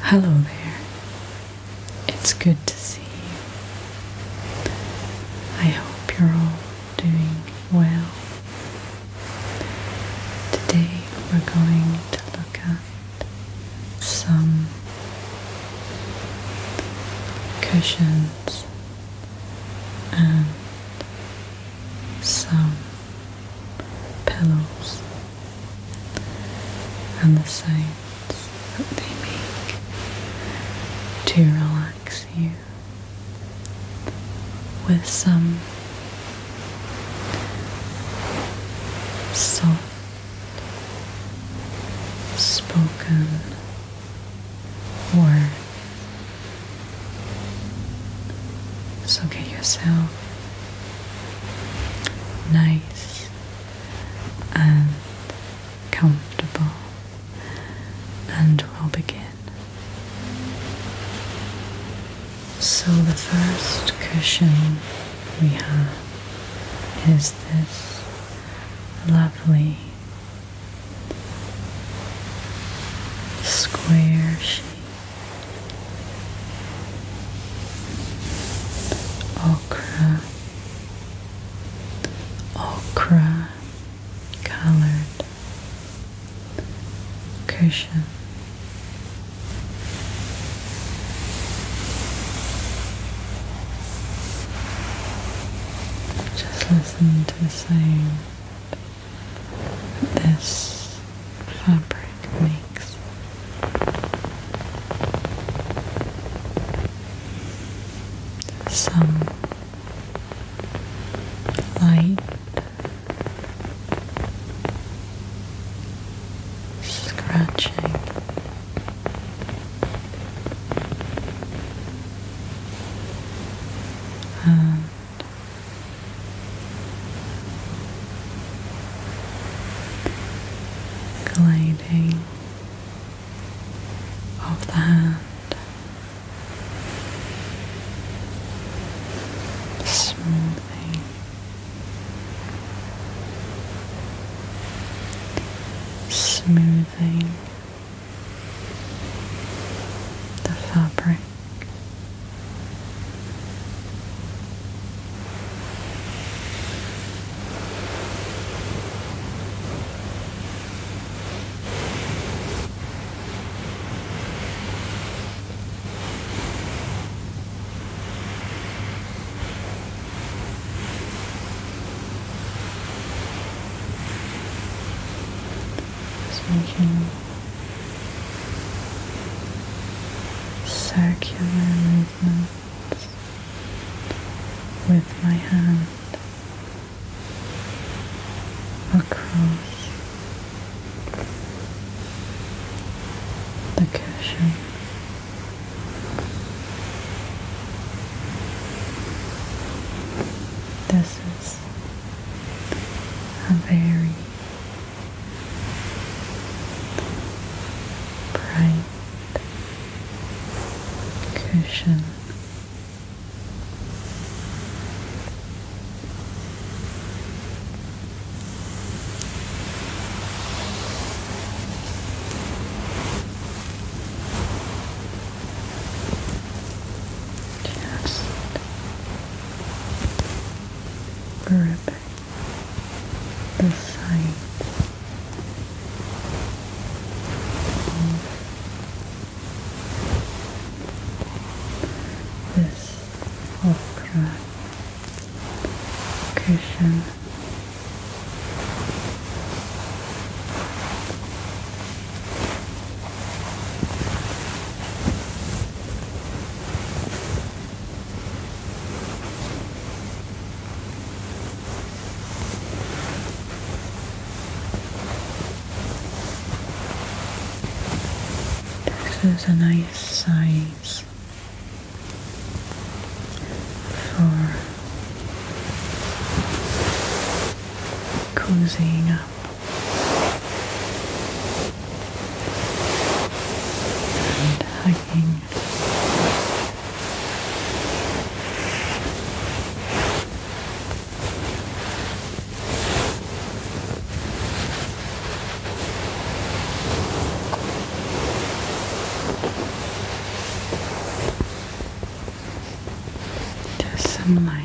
Hello there. It's good to see you. I hope you're all doing well. Today we're going to look at some cushions and some pillows and the sounds that they make to relax you with some soft spoken words. So get yourself nice and comfortable, and we'll begin. So, the first cushion we have is this lovely square shape okra, okra colored cushion. Just listen to the sound this fabric makes. Some light scratching. Um, gliding of the hand, smoothing smoothing the fabric just making circular movements with my hand across the cushion. This is a very bright cushion. Just ribbon the sight of this okra this is a nice size for cozying up and hugging. Just some light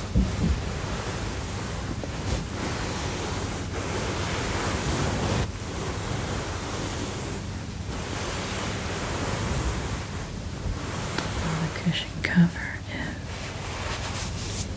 the cushion cover is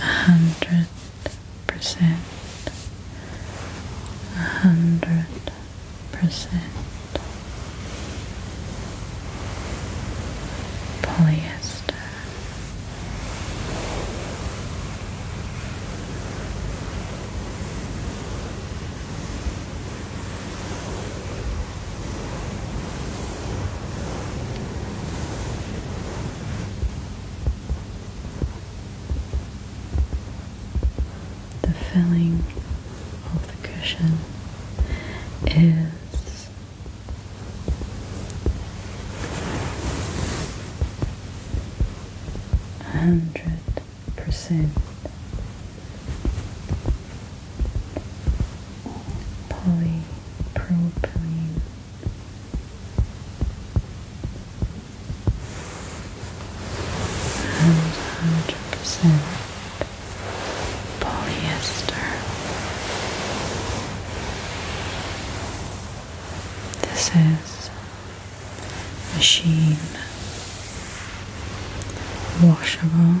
hundred percent, hundred percent polyester. The filling of the cushion is hundred percent polypropylene and hundred percent polyester this is machine washable.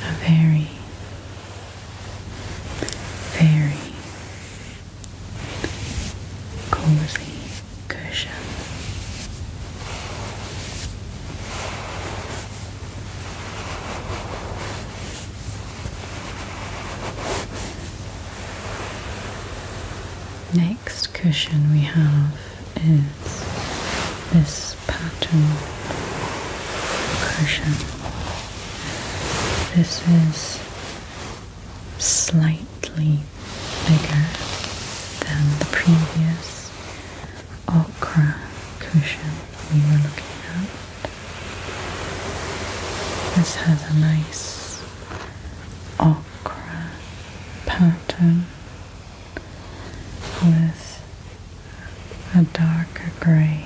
A very, very cozy cushion. Next cushion we have is this pattern cushion. This is slightly bigger than the previous okra cushion we were looking at. This has a nice okra pattern with a darker grey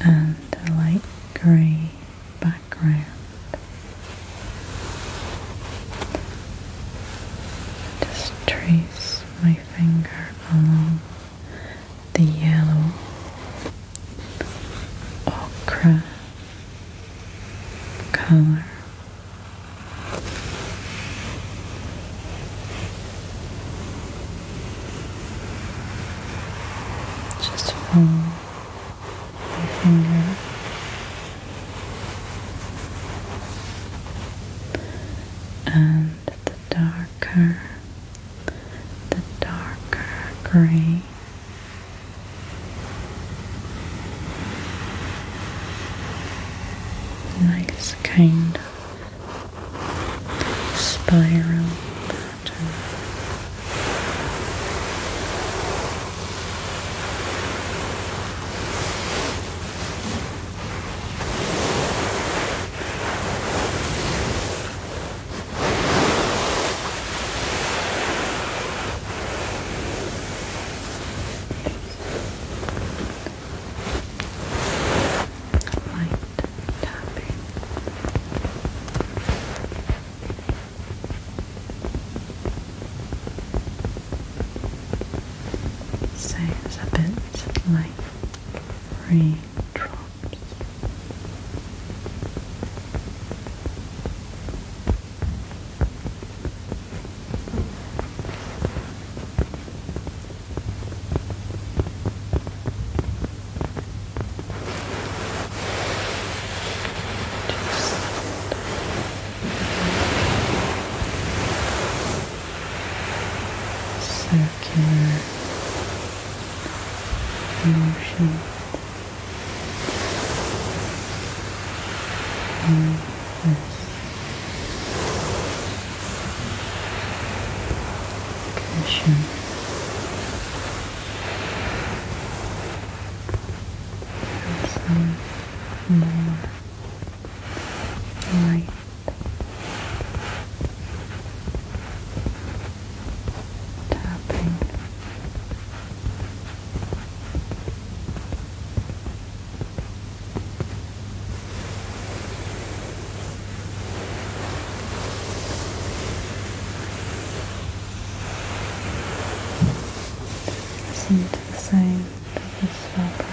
and a light grey background. Just trace my finger along the yellow ochre colour. Just one finger. And the darker, the darker gray. Nice kind of spiral pattern light tapping. Sounds a bit like raindrops circular motion in cushion. And more light. Tapping Listen to the sound of this fabric.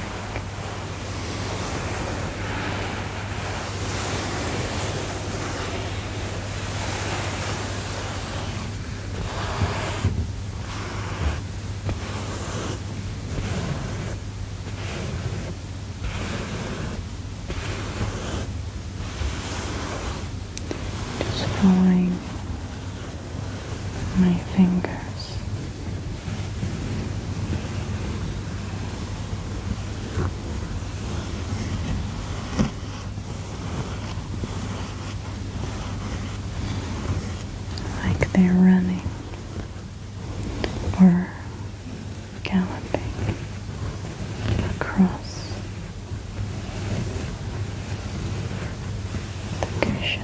Just following my fingers. Like they're running or galloping across the cushion.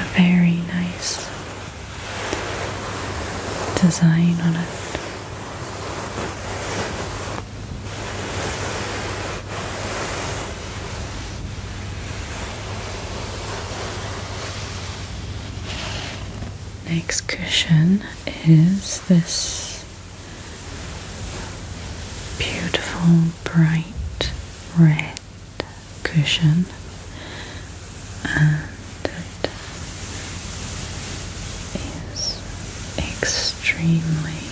a very nice design on it. Next cushion is this beautiful bright red cushion and it is extremely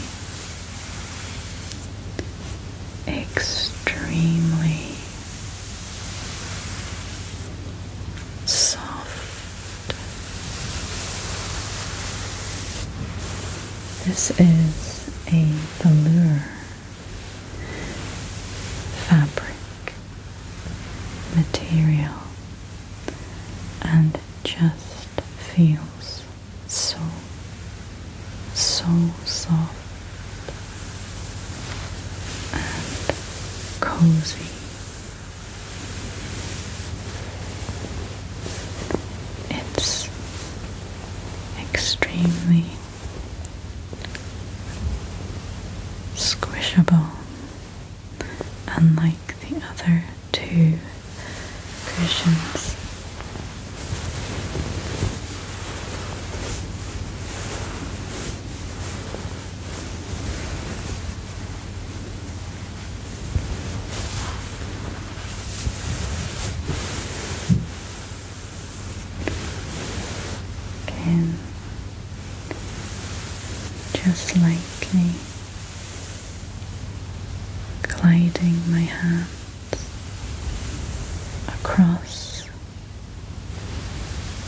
extremely soft this is a velour fabric, material, and just feels so, so soft and cozy. It's extremely squishable, unlike the other two cushions. And just lightly gliding my hands across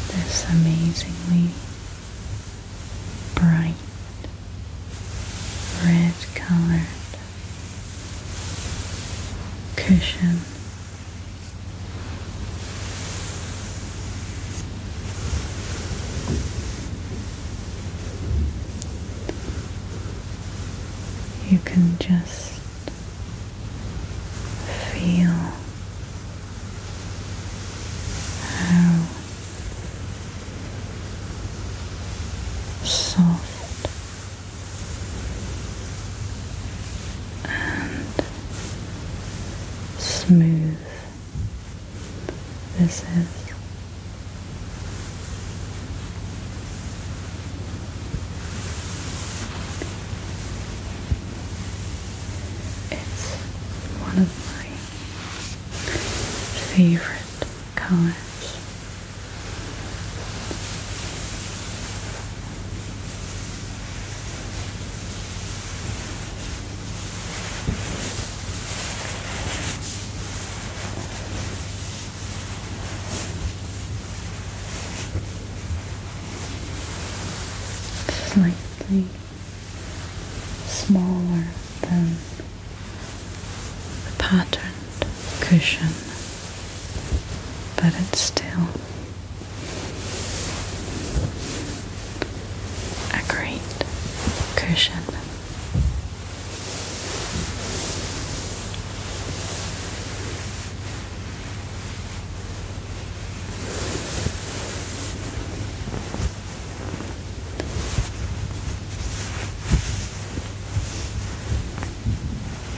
this amazingly bright red colored cushion. You can just feel how soft and smooth this is. It's one of my favorite colors slightly smaller than the pattern cushion, but it's still a great cushion.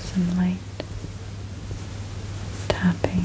Some light tapping.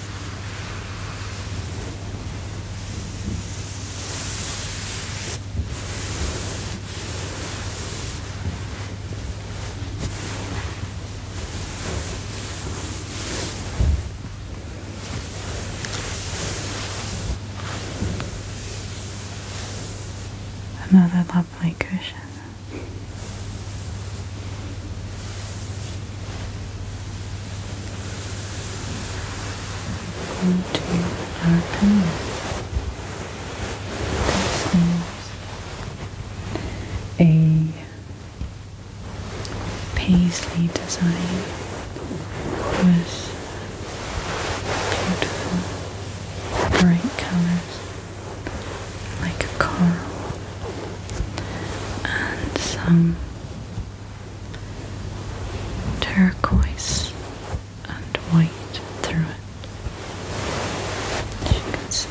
Another lovely cushion. Into to darken this is a paisley design with beautiful bright colors like coral and some turquoise and white through it, as you see.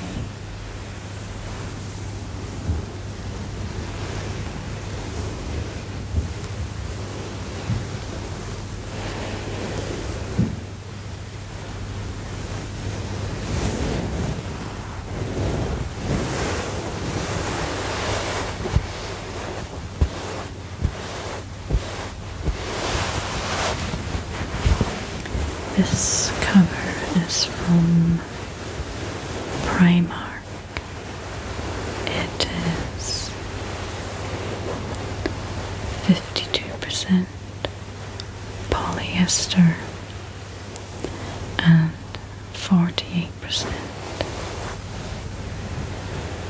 This cover is from Primark. It is 52% polyester and 48%,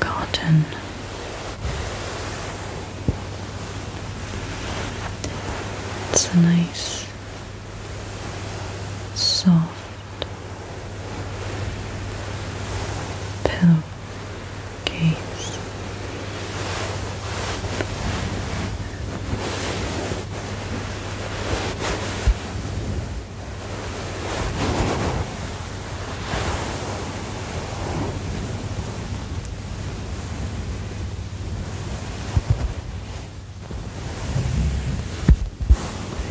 cotton. It's a nice, soft pillow case.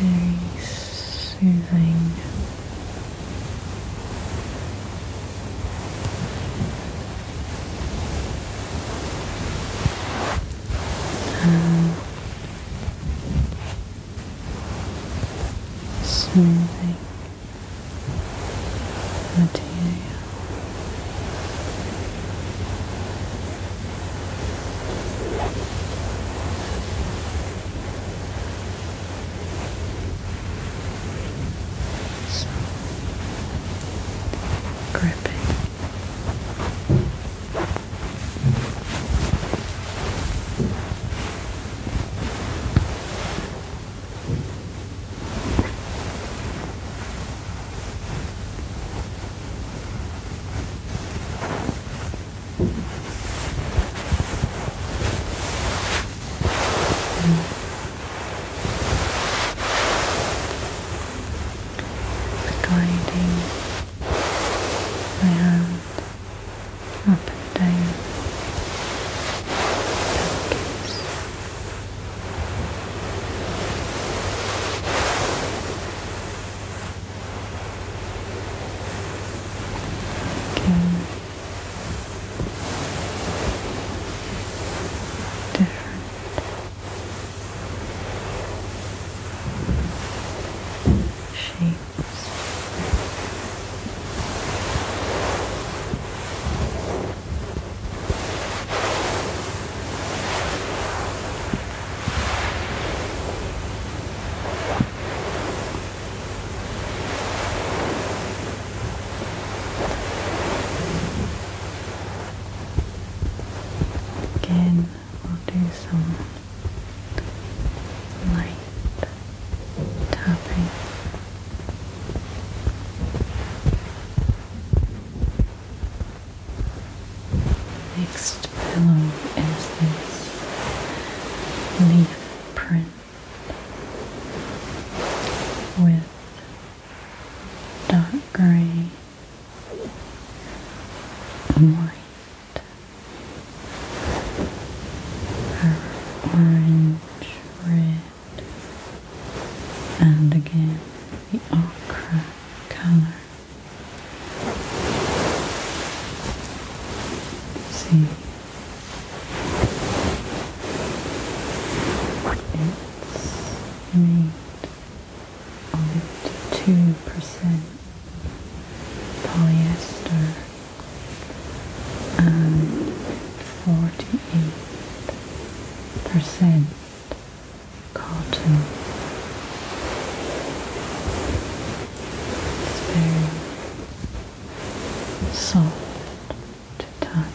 Very soothing. And smoothing material. So, gripping the guiding my hand up and down Pillowcase. Again, different shapes. Again, We'll do some light tapping. Next pillow is this leaf print with dark grey white, orange, red, and again the ochre color. See, it's made 52 percent polyester and 48% cotton. It's very soft to touch.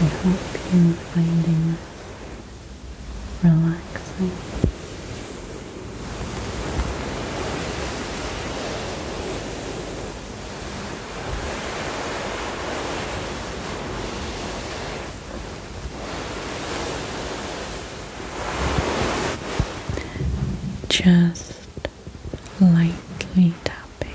I hope you're finding relaxing. Just lightly tapping.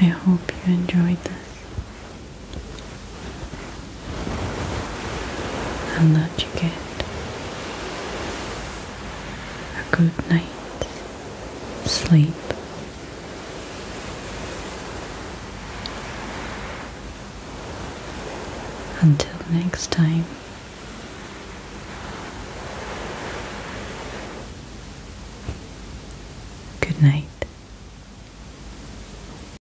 I hope you enjoyed this and that you get a good night's sleep. Until next time. Good night.